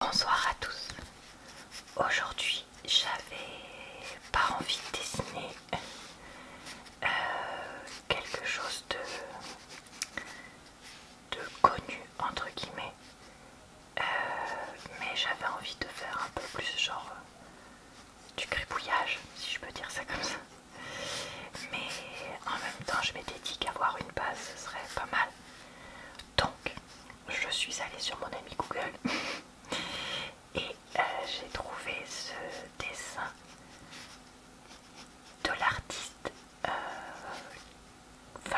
Bonsoir à tous. Aujourd'hui, j'avais pas envie de dessiner euh, quelque chose de, de connu entre guillemets, euh, mais j'avais envie de faire un peu plus genre euh, du gribouillage si je peux dire ça comme ça. Mais en même temps, je m'étais dit qu'avoir une base, ce serait pas mal. Donc, je suis allée sur mon ami Google et euh, j'ai trouvé ce dessin de l'artiste 24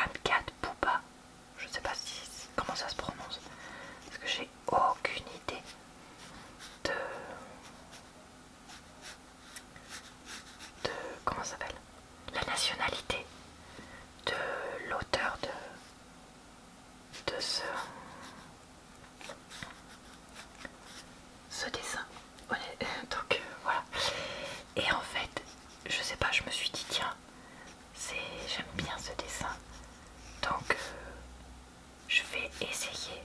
euh, Poupa. Je sais pas comment ça se prononce parce que j'ai aucune idée de. de. comment s'appelle La nationalité de l'auteur de, ce, dessin. Donc euh, voilà. Et en fait, je sais pas, je me suis dit tiens, c'est j'aime bien ce dessin. Donc euh, je vais essayer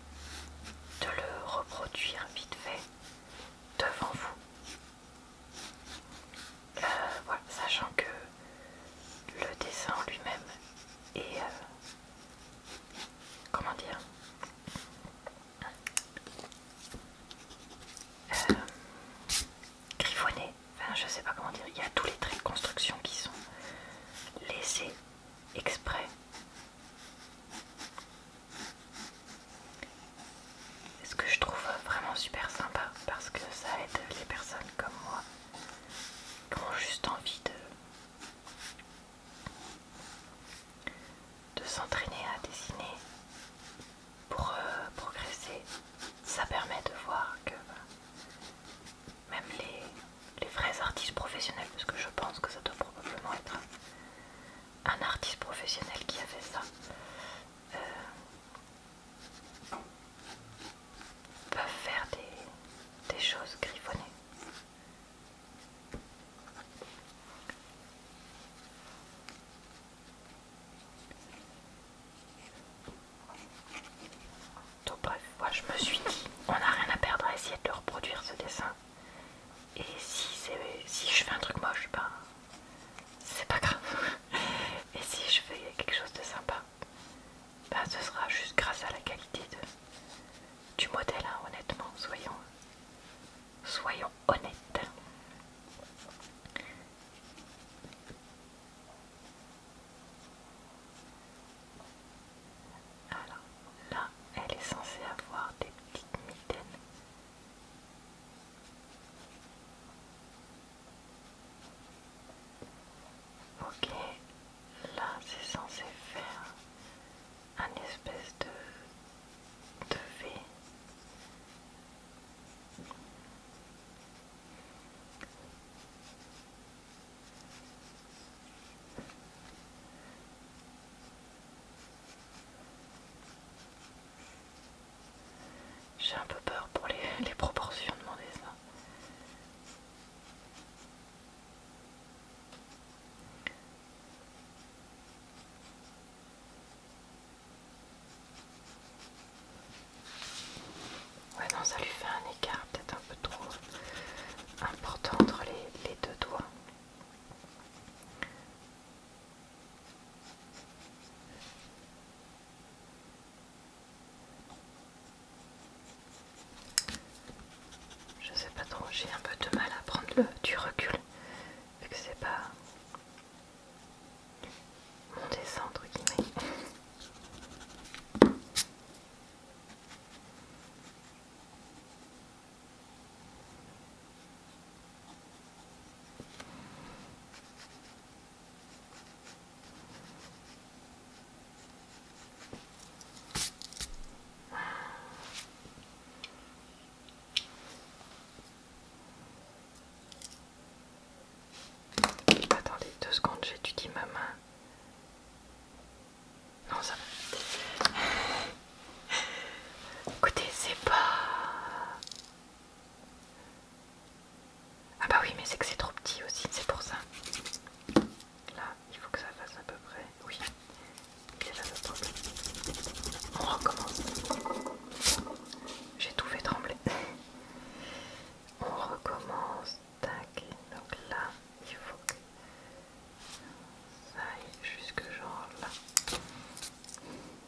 de le reproduire vite fait devant vous euh, sachant que le dessin lui-même est... Euh, comment dire euh, griffonné, enfin je sais pas comment dire, il y a tous les traits de construction qui sont laissés exprès ce que je trouve vraiment super sympa parce que ça aide les personnes comme moi qui ont juste envie de, s'entraîner à dessiner pour euh, progresser. Ça permet de voir que bah, même les, vrais artistes professionnels, parce que je pense que ça doit probablement être un artiste professionnel qui a fait ça, euh, peuvent faire des, choses griffonnées. Donc bref, moi je me suis dit, on n'a rien à perdre à essayer de reproduire ce dessin. Et si, si je fais un truc moche, ben c'est pas grave. Et si je fais quelque chose de sympa, bah, ce sera juste grâce à la qualité du modèle, hein, honnêtement, soyons, soyons honnêtes. Alors là, elle est censée avoir des petites mitaines. Ok, là c'est censé faire un espèce de, de V. J'ai un peu peur pour les, proportions de mon dessin. Ouais non ça lui fait un écart peut-être un peu trop important entre les deux doigts. Je sais pas trop, j'ai un peu de mal à prendre le, du recul, vu que c'est pas mon dessin entre guillemets. Attendez deux secondes, j'étudie ma main. Non, ça va. Écoutez, c'est pas... Ah bah oui, mais c'est que c'est trop petit aussi, c'est pour ça. Là, il faut que ça fasse à peu près. Oui, c'est là problème. On recommence. J'ai tout fait trembler. On recommence. Tac. Donc là, il faut que ça aille jusque genre là.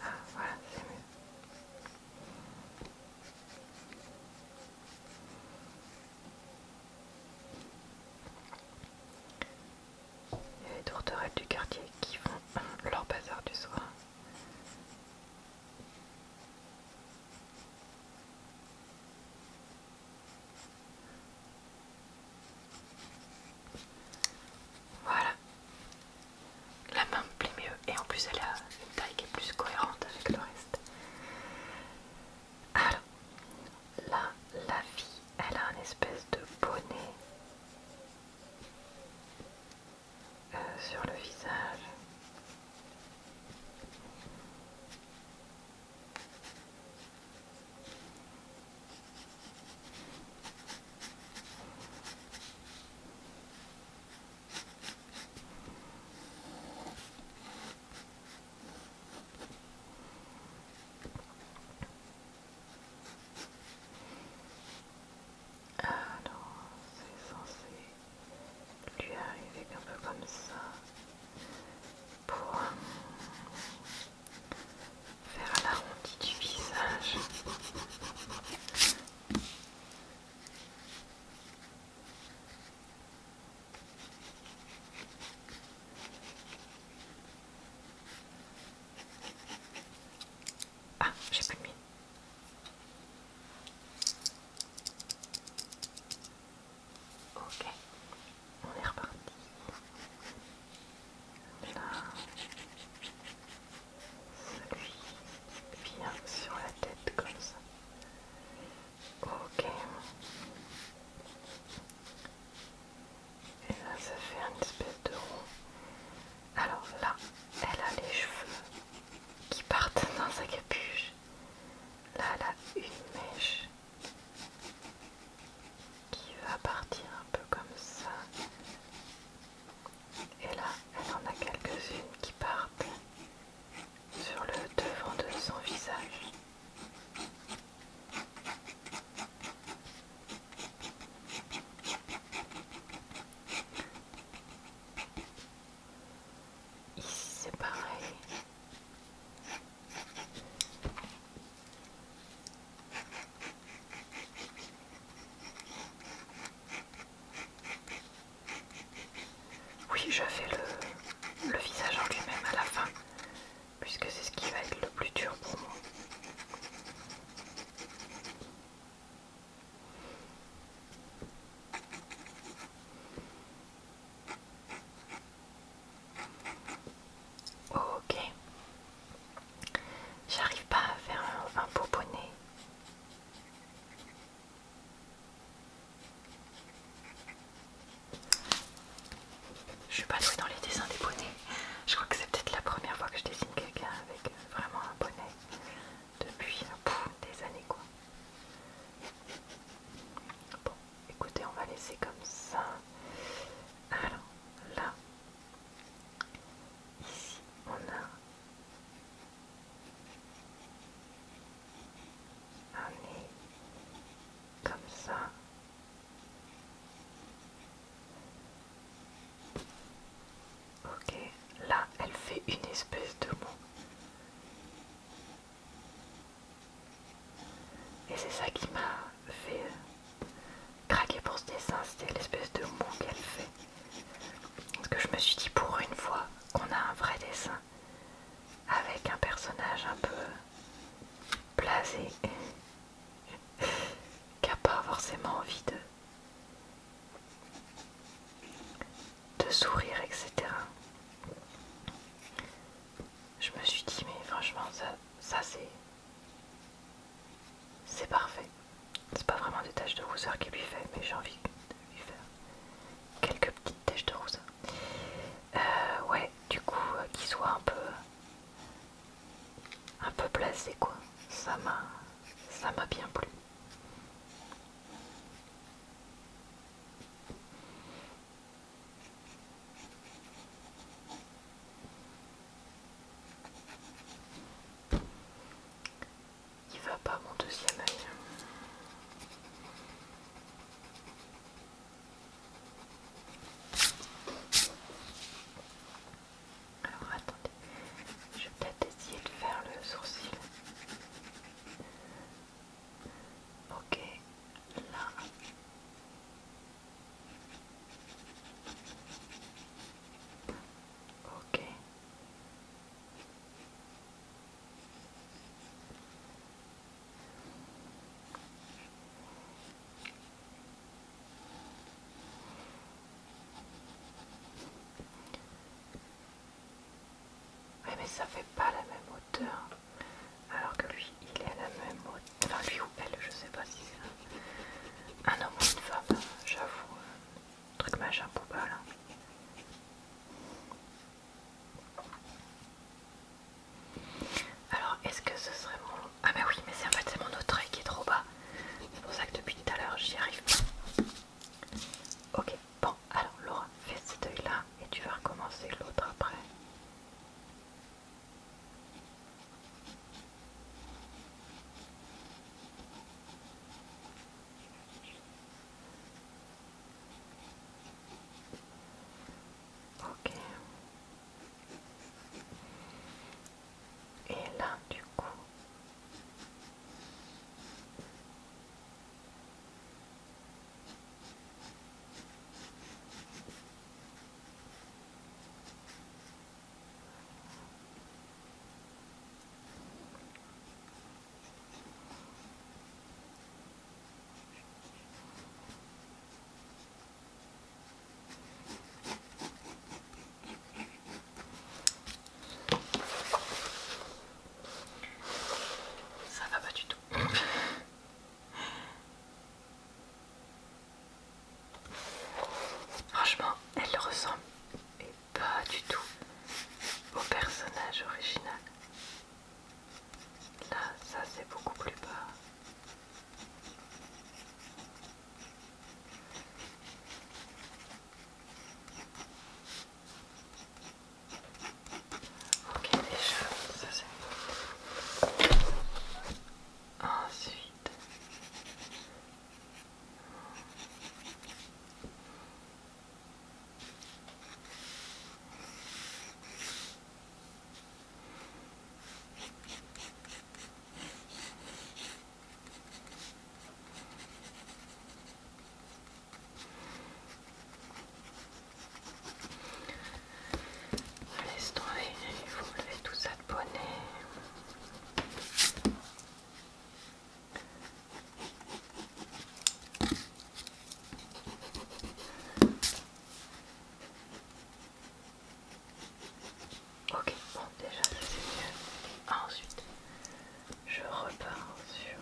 Ah, voilà, Il y a les tourterelles du quartier qui font leur bazar du soir. Voilà. La main me plaît mieux et en plus elle a une taille qui est plus cohérente avec le reste. Alors, là, la vie, elle a un espèce de bonnet euh, sur le visage. Alors, c'est censé lui arriver un peu comme ça pour faire à l'arrondi du visage. Ah, j'ai pas de mine. Ok, on est reparti. Là, celui vient sur la tête comme ça. Ok. Et là, ça fait une espèce de rond. Alors là, elle a les cheveux qui partent dans sa capuche. Là, elle a une mèche qui va partir un peu comme ça. Et là, elle en a quelques-unes qui partent sur le devant de son visage. Ici c'est pareil. Oui, je fais le, le visage en lui-même à la fin, puisque c'est ce qui va être le plus dur pour moi. Ok. J'arrive pas à faire un beau bonnet Je suis pas douée dans les dessins des bonnets. Je crois que c'est peut-être la première fois que je dessine quelqu'un avec euh, vraiment un bonnet depuis euh, des années quoi. Bon, écoutez, on va laisser comme ça. Alors là, Ici, on a un nez comme ça. Ok, là, elle fait une espèce de mot. Et c'est ça qui m'a fait craquer pour ce dessin, c'était l'espèce de mou qu'elle fait. Parce que je me suis dit pour une fois qu'on a un vrai dessin avec un personnage un peu blasé qui n'a pas forcément envie de, de sourire, etc. Je me suis dit mais franchement ça c'est c'est parfait. C'est pas vraiment des taches de rousseur qui lui fait, mais j'ai envie de lui faire quelques petites taches de rousseur. Euh, ouais, du coup, euh, qu'il soit un peu, un peu placé quoi. Ça ça m'a bien plu. Il va pas mon deuxième œil. Alors attendez, je vais peut-être essayer de faire le sourcil. Ok, là. Ok. mais ça fait pas la même hauteur. Alors que lui, il est à la même hauteur. Enfin, lui ou elle, je sais pas si c'est un homme ou une femme, j'avoue. Euh, truc machin, pas là. Alors, est-ce que ce serait mon. Ah, bah oui, mais c'est en fait c'est mon autre œil qui est trop bas. C'est pour ça que depuis tout à l'heure, j'y arrive pas. Ok, bon, alors Laura, fais cet œil là et tu vas recommencer l'autre après. Et là, du coup, ça va pas du tout. Franchement, elle ressemble et pas du tout au personnage original. Là, ça c'est beaucoup plus bas. Ok déjà, ça c'est... Ensuite... Laisse tomber, il faut lever tout ça de bonnet. Ok, bon déjà c'est mieux. ensuite, je repars sur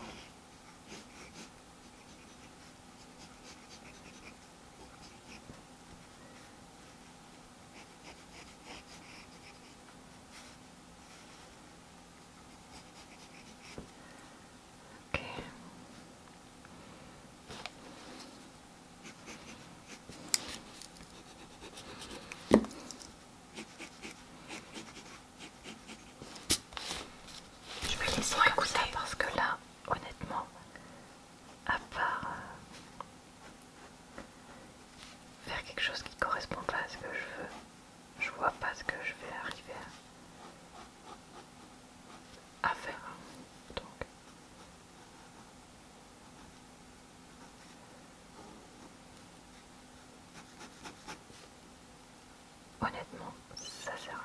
je vais laisser ça parce que là, honnêtement, à part euh, faire quelque chose qui ne correspond pas à ce que je veux. Je vois pas ce que je vais arriver à, faire. Donc. Honnêtement, ça sert à rien.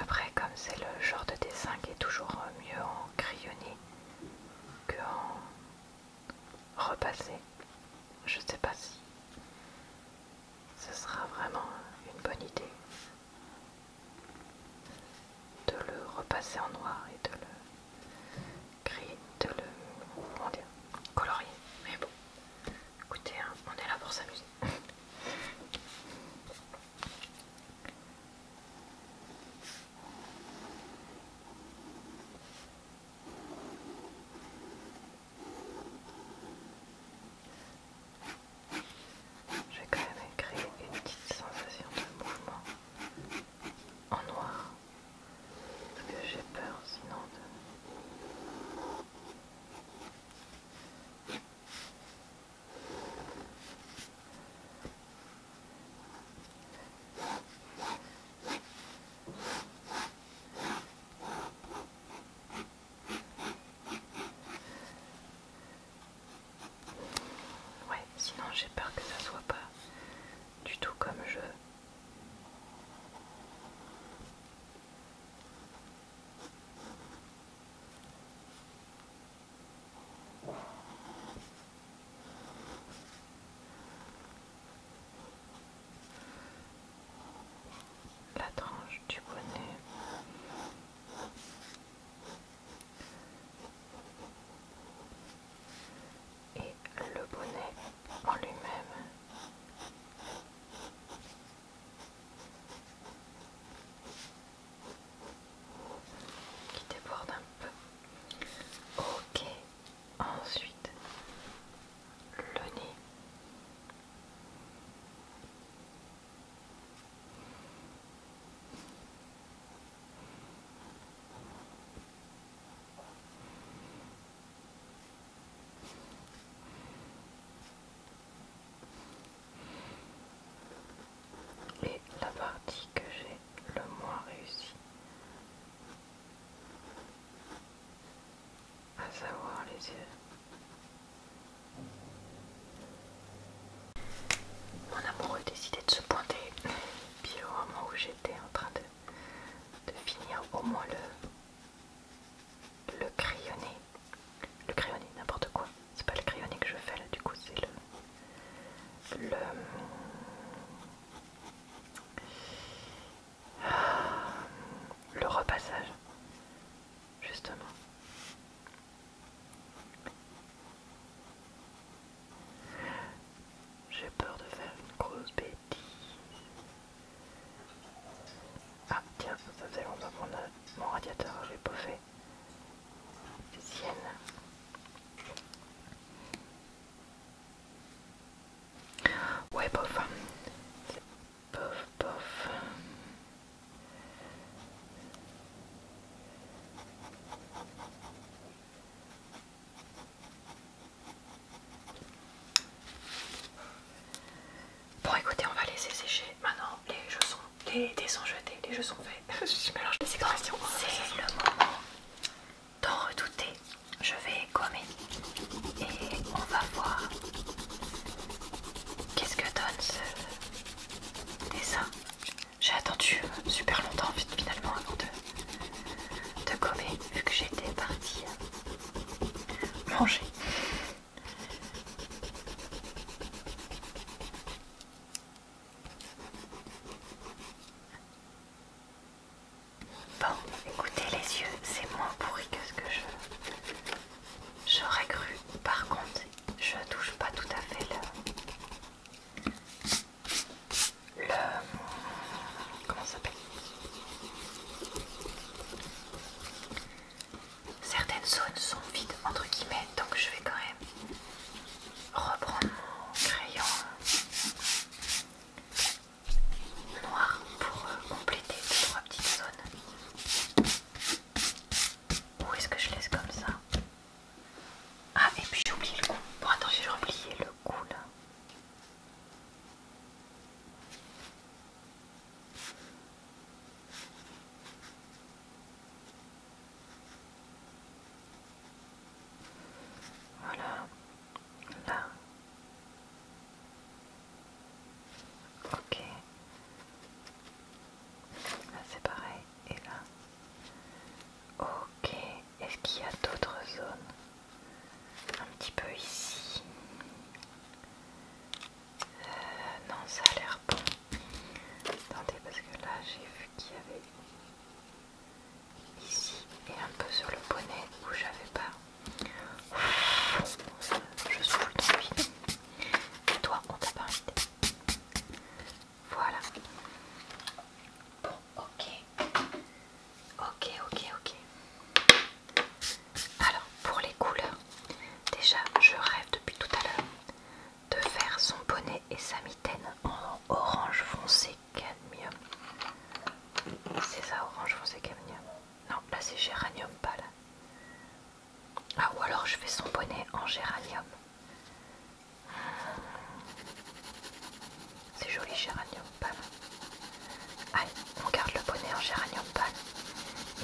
Après, comme c'est le genre de dessin qui est toujours euh, mieux en crayonné qu'en en repassé, je sais pas si ce sera vraiment une bonne idée de le repasser en noir et de le créer, de le colorier. Mais bon, écoutez, hein, on est là pour s'amuser. J'ai quand même créer une petite sensation de mouvement en noir parce que j'ai peur sinon de Ouais, sinon j'ai peur que ça soit pas du tout comme je. La tranche du bonnet et le bonnet en lui-même. Qui déborde un peu. Ok, ensuite le nez. Et la partie que j'ai le moins réussi, à savoir les yeux. Mon amoureux décidé de se pointer, puis au moment où j'étais en train de, finir au moins le, le crayonné, le crayonné, n'importe quoi, c'est pas le crayonné que je fais là, du coup c'est le... le le repassage, justement. J'ai peur de faire une grosse bêtise. Ah tiens, ça fait longtemps qu'on mon radiateur, je vais fait C'est sienne. Ouais, bof, bof, bof. Bon écoutez, on va laisser sécher. Maintenant, les jeux sont, les sont jetés, les jeux sont faits. C'est le moment d'en redouter. Je vais gommer et on va voir qu'est-ce que donne ce dessin. J'ai attendu super longtemps finalement avant de, de gommer vu que j'étais partie euh, manger. Bon, écoutez les yeux, c'est moins pourri que ce que je j'aurais cru. Par contre, je touche pas tout à fait le, le comment s'appelle certaines zones sont vides entre guillemets donc je vais quand même reprendre mon crayon noir pour euh, compléter deux trois petites zones ou est-ce que je laisse comme ça ah, et puis j'ai oublié le coup. Bon, attends, j'ai oublié le coup là. Voilà, là. Ok. Là c'est pareil. Et là. Ok, est-ce qu'il y a d'autres zones Un petit peu ici. Euh, non, ça a l'air bon. Attendez, parce que là j'ai vu qu'il y avait ici et un peu sur le bonnet où j'avais pas. Je souffle trop le Et toi, on t'a pas invité. Voilà. Bon, ok. Ok, ok, ok. Alors, pour les couleurs, déjà, je rêve depuis tout à l'heure de faire son bonnet et sa mitaine en orange foncé cadmium. C'est ça, orange foncé cadmium. Non, là c'est géranium là, Ah, ou alors je fais son bonnet en géranium. C'est joli géranium pal. Allez, on garde le bonnet en géranium pâle.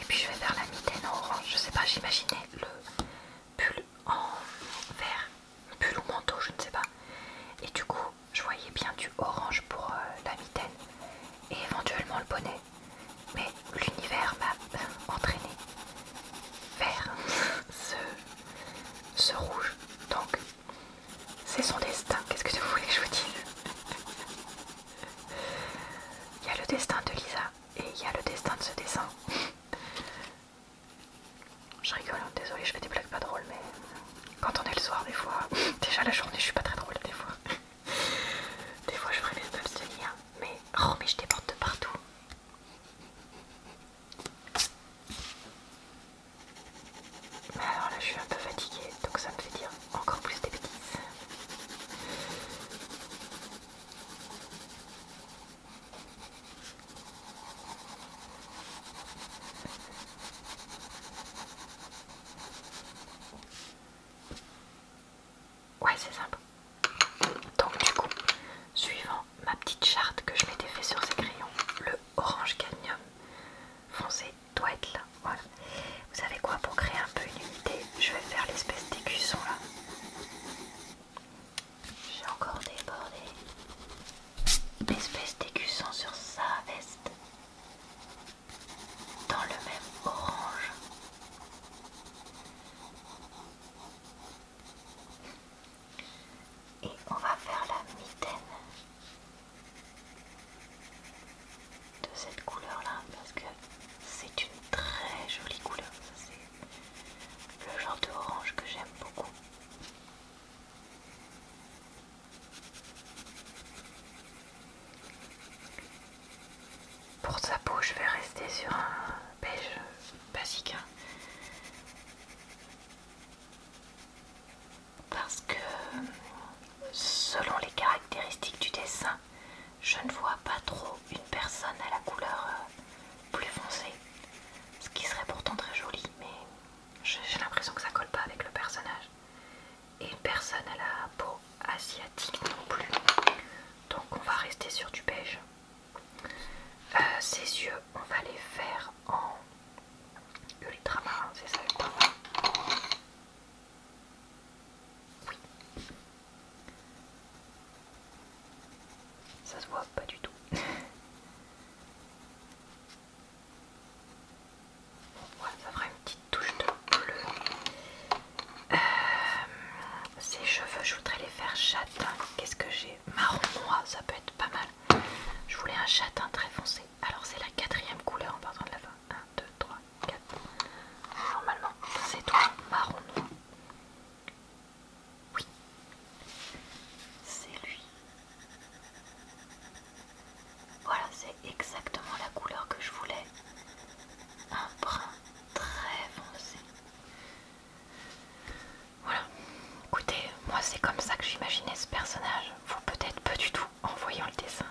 Et puis je vais vers la mitaine en orange. Je sais pas, j'imaginais le pull en vert. Pull ou manteau, je ne sais pas. Et du coup, je voyais bien du orange pour euh, la mitaine. Et éventuellement le bonnet. Mais l'univers m'a euh, entraîné vers ce, rouge. Donc, c'est son destin. Qu'est-ce que vous voulez que je vous dise Il y a le destin de Lisa et il y a le destin de ce dessin. Je rigole, hein, désolée, je fais des blagues pas drôles, mais quand on est le soir, des fois, déjà la journée, je suis pas très drôle, des fois. Des fois, je ferais bien de tenir mais oh, mais je déborde de partout. Alors là, je suis un peu fatiguée, donc ça me fait dire encore plus des bêtises. Ouais, c'est simple. Donc du coup, suivant ma petite charte que je m'étais fait sur ces crayons, le orange cadmium foncé doit être là. Voilà. Vous savez quoi Pour créer un peu une unité, je vais faire l'espèce d'écusson là. J'ai encore débordé. L'espèce d'écusson sur sa veste. Dans le même orange et on va faire la mitaine de cette couleur là parce que c'est une très jolie couleur c'est le genre d'orange que j'aime beaucoup pour sa peau je vais rester sur un beige basique. Hein. Parce que selon les caractéristiques du dessin, je ne vois pas trop une personne à la couleur euh, plus foncée. Ce qui serait pourtant très joli, mais j'ai l'impression que ça colle pas avec le personnage. Et personne à la peau asiatique non plus. Donc on va rester sur du beige. Euh, ces yeux, on va les faire en ultramarin, c'est ça ultramarin Oui. Ça se voit pas du tout. ça fera une petite touche de bleu. Euh, ces cheveux, je voudrais les faire châtain. Qu'est-ce que j'ai Marron noir, ça peut être pas mal. Je voulais un châtain très foncé. Alors c'est la quatrième couleur en partant de la fin. 1, 2, 3, 4. Normalement, c'est toi, marron noir. Oui, c'est lui. Voilà, c'est exactement la couleur que je voulais. Un brun très foncé. Voilà. Écoutez, moi c'est comme ça que j'imaginais ce personnage. Vous peut-être peu du tout en voyant le dessin.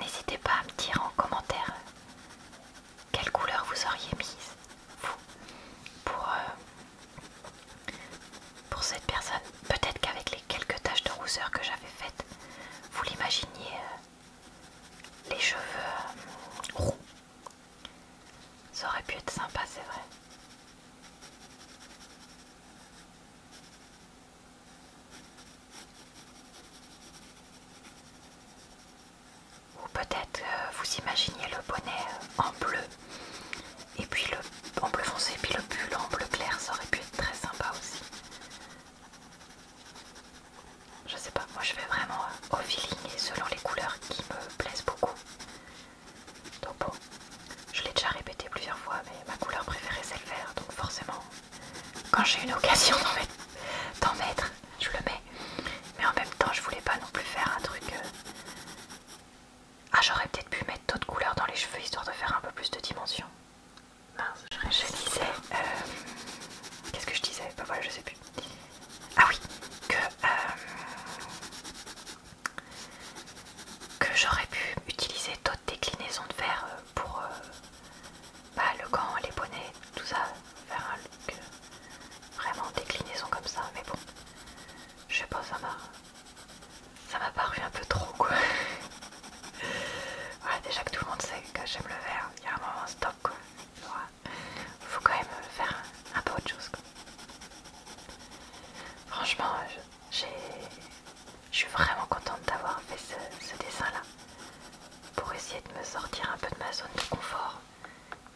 N'hésitez pas à me dire en commentaire quelle couleur vous auriez mise, vous, pour, euh, cette personne. Peut-être qu'avec les quelques taches de rousseur que j'avais faites, vous l'imaginiez euh, les cheveux euh, roux, ça aurait pu être sympa, c'est vrai. Ou peut-être euh, vous imaginez le bonnet euh, en bleu, et puis le en bleu foncé, et puis le pull en bleu clair, ça aurait pu être très sympa aussi je sais pas, moi je vais vraiment au euh, et selon les couleurs qui me plaisent beaucoup. Donc bon, je l'ai déjà répété plusieurs fois, mais ma couleur préférée c'est le vert, donc forcément, quand j'ai une occasion d'en mettre, je le mets. Mais en même temps, je voulais pas non plus faire un truc. Euh, ah, j'aurais peut-être pu mettre d'autres couleurs dans les cheveux histoire de faire un peu plus de dimension. je, disais. Euh, qu'est-ce que je disais Bah voilà, je sais plus. Ah oui, euh, que, j'aurais pu utiliser d'autres déclinaisons de verre euh, pour euh, bah, le gant, les bonnets, tout ça, faire un look vraiment déclinaison comme ça, mais bon, je pense pas, ça m'a ça m'a paru un peu trop quoi. voilà, déjà que tout le monde sait que j'aime le verre, il y a un moment stop quoi. Il faut quand même faire un, peu autre chose. Franchement, je suis vraiment contente d'avoir fait ce, dessin-là pour essayer de me sortir un peu de ma zone de confort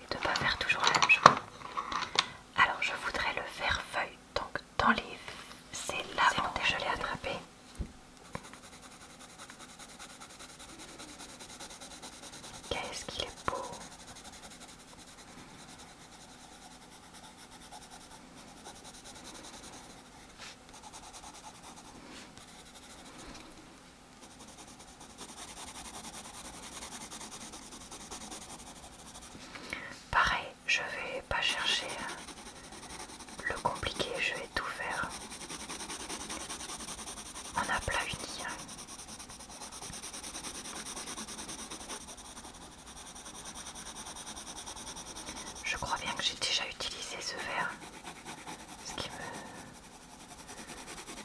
et de ne pas faire toujours la même chose. Alors, je voudrais le faire feuille, donc dans les... C'est là où je l'ai attrapé. Qu'est-ce qu'il est beau Pareil, je vais pas chercher hein. le compliqué, je vais tout faire en un plat je crois bien que j'ai déjà utilisé ce verre, ce qui me...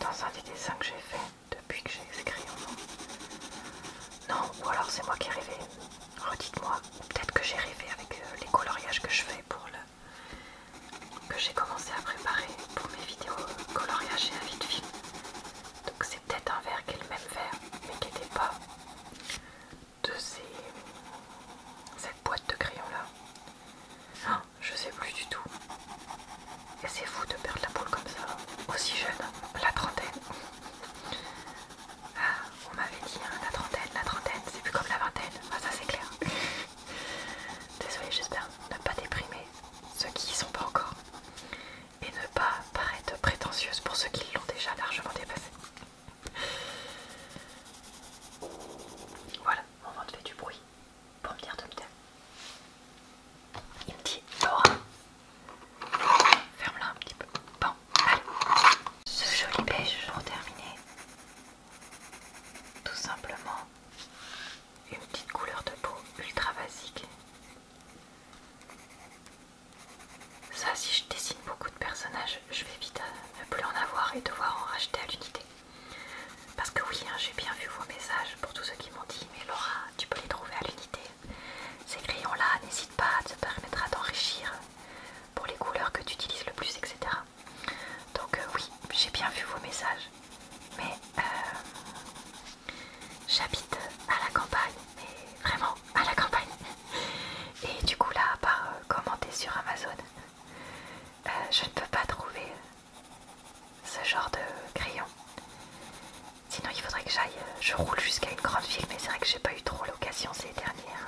dans un des dessins que j'ai fait depuis que j'ai écrit Non, ou alors c'est moi qui ai rêvé. Redites-moi, peut-être que j'ai rêvé avec euh, les coloriages que je fais pour le que j'ai commencé à préparer pour mes vidéos coloriage et vie film. Donc c'est peut-être un verre qui est le même verre, mais qui n'était pas de ces... cette boîte de crayons là. Hein, je sais plus du tout. Et c'est fou de perdre la boule comme ça, aussi jeune, la trentaine. Ah, on m'avait dit hein, la trentaine, la trentaine, c'est plus comme la vingtaine, ah, ça c'est clair. Désolée, j'espère ne pas déprimer ceux qui y sont pas encore et ne pas paraître prétentieuse pour ceux qui l'ont déjà largement dépassé. Voilà, mon ventre fait du bruit pour me dire de me taire. Il me dit Laura, ferme-la un petit peu. Bon, allez, ce joli beige pour terminer. Tout simplement une petite couleur de peau ultra basique. Ça, si je dessine beaucoup de personnages, je vais vite euh, ne plus en avoir et devoir en racheter à l'unité. Parce que oui, hein, j'ai bien vu vos messages pour tous ceux qui m'ont dit Mais Laura, tu peux les trouver à l'unité. Ces crayons-là, n'hésite pas, ça te permettra d'enrichir pour les couleurs que tu utilises le plus, etc. Donc euh, oui, j'ai bien vu vos messages. Mais euh, j'habite à la campagne, mais vraiment à la campagne. Et du coup là, à part euh, commenter sur Amazon, je ne peux pas trouver ce genre de crayon. Sinon il faudrait que j'aille, je roule jusqu'à une grande ville, mais c'est vrai que j'ai pas eu trop l'occasion ces dernières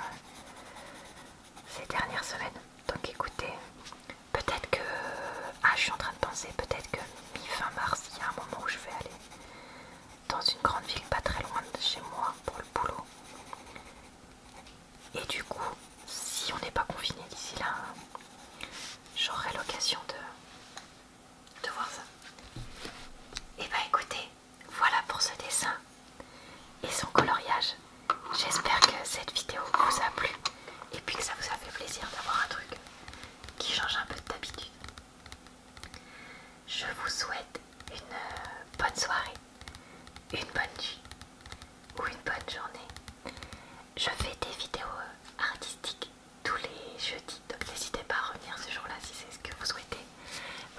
ces dernières semaines. Donc écoutez, peut-être que... Ah, je suis en train de penser, peut-être que mi-fin mars, il y a un moment où je vais aller dans une grande ville pas très loin de chez moi pour le boulot. Et du coup, si on n'est pas confiné d'ici là, j'aurai l'occasion de, de voir ça. Et eh bah ben, écoutez, voilà pour ce dessin et son coloriage. J'espère que cette vidéo vous a plu et puis que ça vous a fait plaisir d'avoir un truc qui change un peu d'habitude. Je vous souhaite une bonne soirée, une bonne nuit ou une bonne journée. Je fais des vidéos artistiques tous les jeudis, donc n'hésitez pas à revenir ce jour-là si c'est ce que vous souhaitez.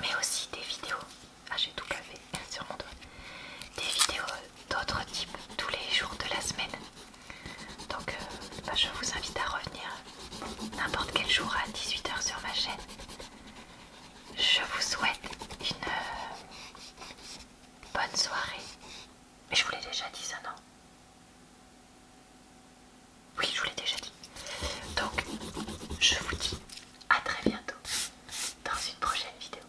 Mais aussi des vidéos, ah j'ai tout café, sur mon des vidéos d'autres types tous les jours de la semaine. Donc euh, bah, je vous invite à revenir n'importe quel jour à 18h sur ma chaîne. Je vous souhaite une euh, bonne soirée. Mais je vous l'ai déjà dit ça, non Oui, je vous l'ai déjà dit. Donc, je vous dis à très bientôt dans une prochaine vidéo.